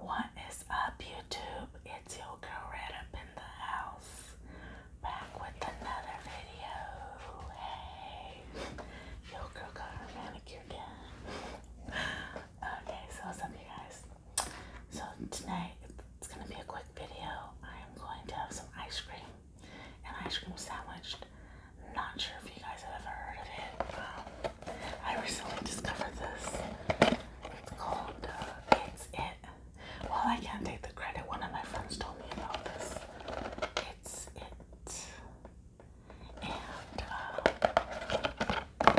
What is up, YouTube? It's your girl right up in the house, back with another video. Hey, your girl got her manicure done. Okay, so what's up, you guys? So tonight it's gonna be a quick video. I am going to have some ice cream, and ice cream sandwich. Not sure if you guys have ever heard of it. I recently discovered this. It's called uh, It's It. Well, I can't take the credit. One of my friends told me about this. It's It. And, uh, I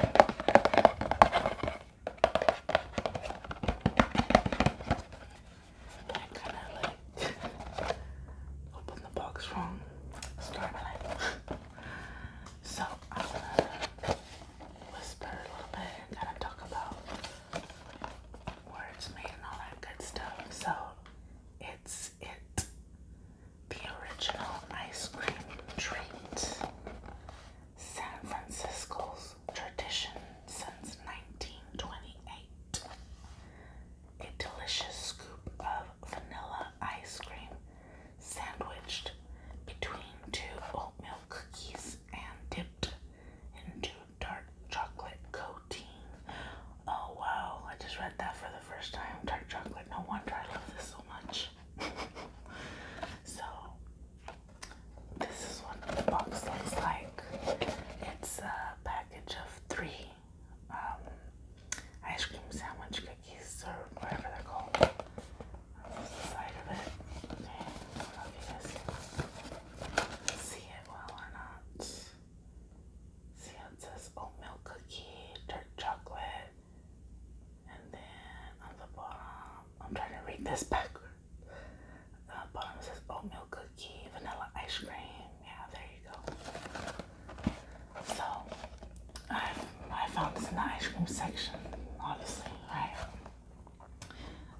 kind of like opened the box wrong. Stormlight. So I'm gonna whisper a little bit and kind of talk about where it's made and all that good stuff. So it's it the original ice cream treat. San Francisco's tradition since 1928. A delicious scoop of vanilla ice cream sandwiched between two oatmeal cookies and dipped into dark chocolate coating. Oh wow, I just read that for the first time. Dark chocolate. No wonder I love this so much. so, this is what the box looks like. It's a package of three um, ice cream sandwich cookies or whatever they're called. side of it. see it well or not. See it says oatmeal cookie, dark chocolate, and then on the bottom, I'm trying to read this backwards. The bottom says oatmeal cookie, vanilla ice cream. Yeah, there you go. So I, I found this in the ice cream section, obviously, right?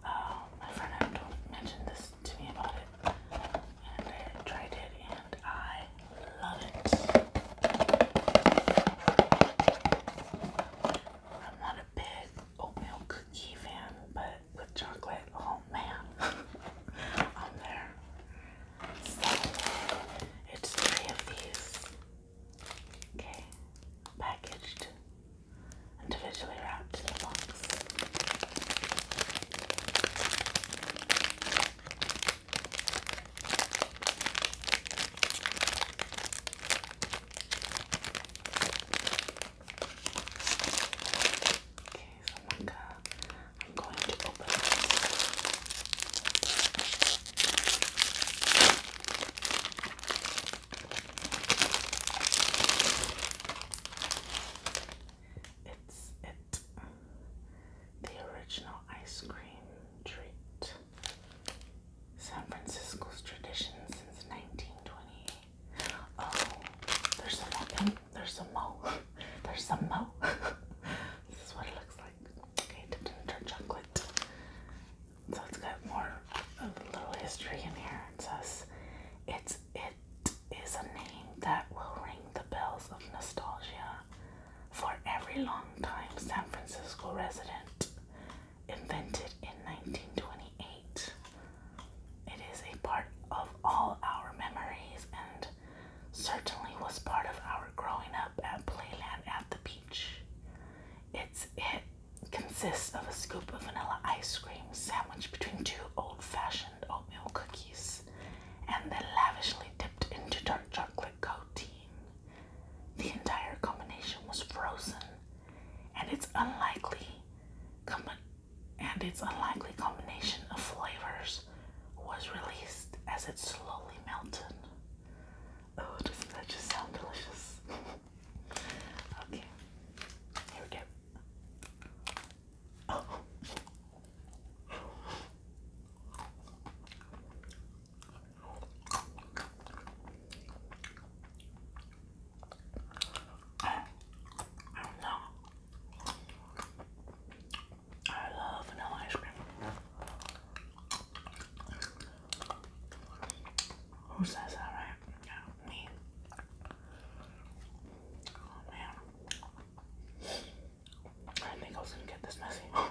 Uh, my friend Abdul mentioned this to me about it, and I tried it, and I love it. I'm not a big oatmeal cookie fan, but with chocolate, oh man, I'm there. It's three of these. Okay, packaged, individually wrapped in a box. Okay oh my god, I'm going to open it. It's it, the original ice cream treat. San Francisco's tradition since 1928. Oh, there's an open there's some mo. There's some mo. this is what it looks like. Okay, dipped in dark chocolate. So it's got more a little history in here. It says it's it is a name that will ring the bells of nostalgia for every long time San Francisco resident. Invented in 1928. It is a part of all our memories and certainly was part of our growing up at Playland at the beach. It's, it consists of a scoop of vanilla ice cream sandwiched between two old fashioned oatmeal cookies and then lavishly dipped into dark chocolate coating. The entire combination was frozen, and it's unlikely. Com and its unlikely combination of flavors was released as it slowly melted. Oh, doesn't that just sound delicious? okay, here we go. Oh. I don't know. I love vanilla ice cream. Who says that, right? me. Oh man. I think I was gonna get this messy.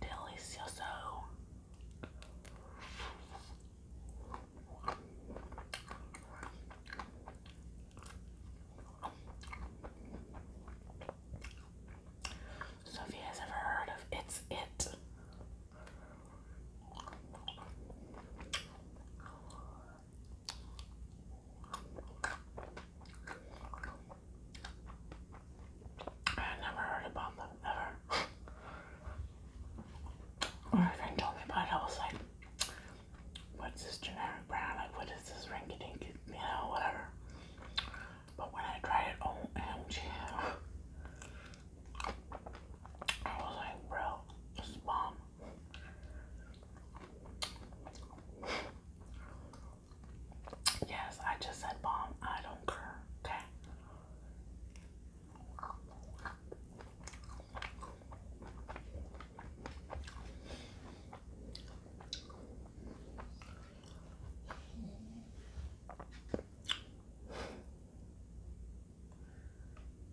Delicioso. So if you guys ever heard of It's It, I never heard about them, ever. when my friend told me about it, I was like, what's this generic brand? Like, what is this rinky dink? You know, whatever. But when I tried it, oh, OMG. I was like, bro, this bomb. Yes, I just said bomb. I don't care. Okay.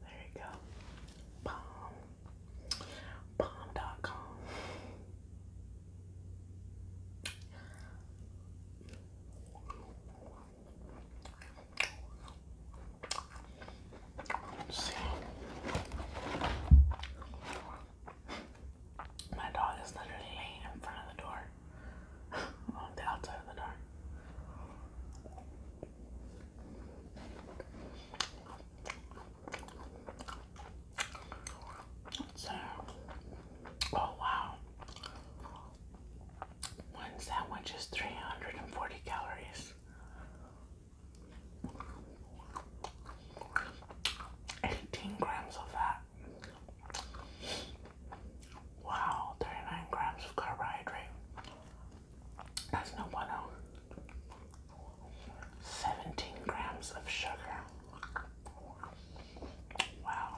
There you go. Bomb. Bomb.com. see. My dog is literally laying in front of the door on oh, the outside of the door. So, oh wow, one sandwich is 340 calories. Eighteen grams of fat. Wow, 39 grams of carbohydrate. That's no bueno. 17 grams of sugar. Wow.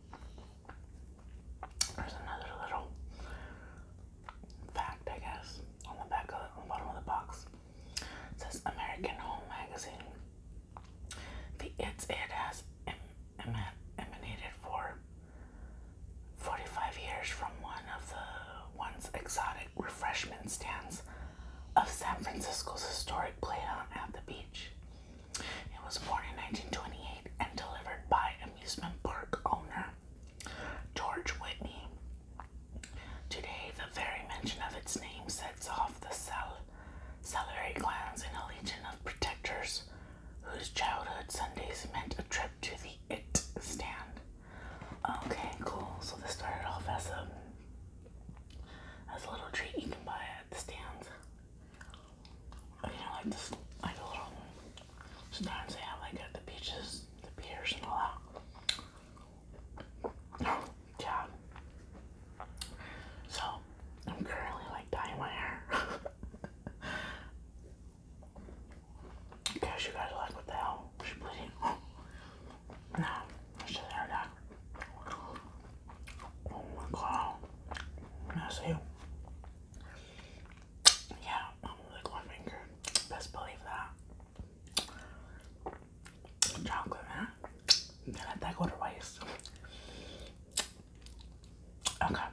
There's another little fact, I guess, on the back of the, on the bottom of the box. It says American Home Magazine. The It's It has em, em, emanated for 45 years from one of the once exotic refreshment stands of San Francisco's historic playground at the beach. It was born in 1928 and delivered by amusement park owner George Whitney. Today, the very mention of its name sets off the cell celery glands in a legion of protectors whose childhood Sundays meant a trip to the It stand. Okay, cool. So this started off as a as a little treat you can buy at the stands. I you know, like this, like the little stands they have, like at the beaches, the piers, and all that. Oh, yeah. So, I'm currently like dyeing my hair. Guess you guys like, what the hell? She's bleeding. no, it's just hair dye. Oh my god. That's you. Yeah, I'm gonna Best believe that. Chocolate, man. You can let that go to waste. Okay.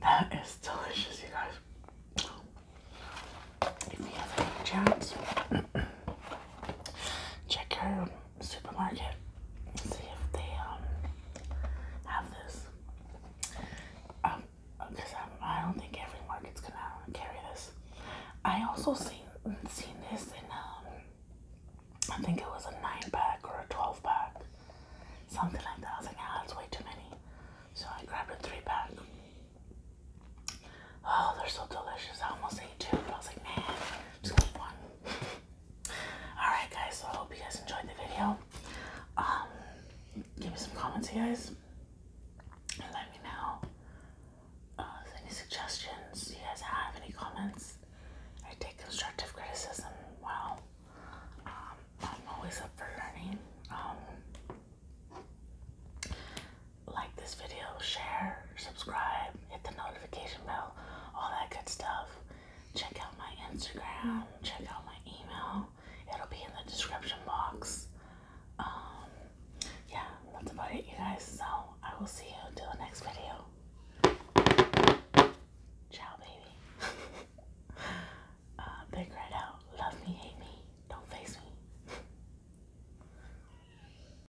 That is delicious, you guys. If you have any chance, check out supermarket see if they um have this. Um, because I don't think every market's gonna carry this. I also seen seen this in um, I think it was a nine pack or a twelve pack, something like that. I was like, ah, that's way too many, so I grabbed a three pack. Oh, they're so delicious. I almost ate two, but I was like, man, just eat one. Alright guys, so I hope you guys enjoyed the video. Um give me some comments you guys. let me know uh, any suggestions you guys have, any comments. I take constructive criticism well. Um, I'm always up for learning. Um, like this video, share, subscribe, hit the notification bell, all that good stuff. Check out my Instagram, check out my email. It'll be in the description box. Um, yeah, that's about it, you guys. So I will see you till the next video. Ciao, baby. Uh, big red out. Love me, hate me, don't face me.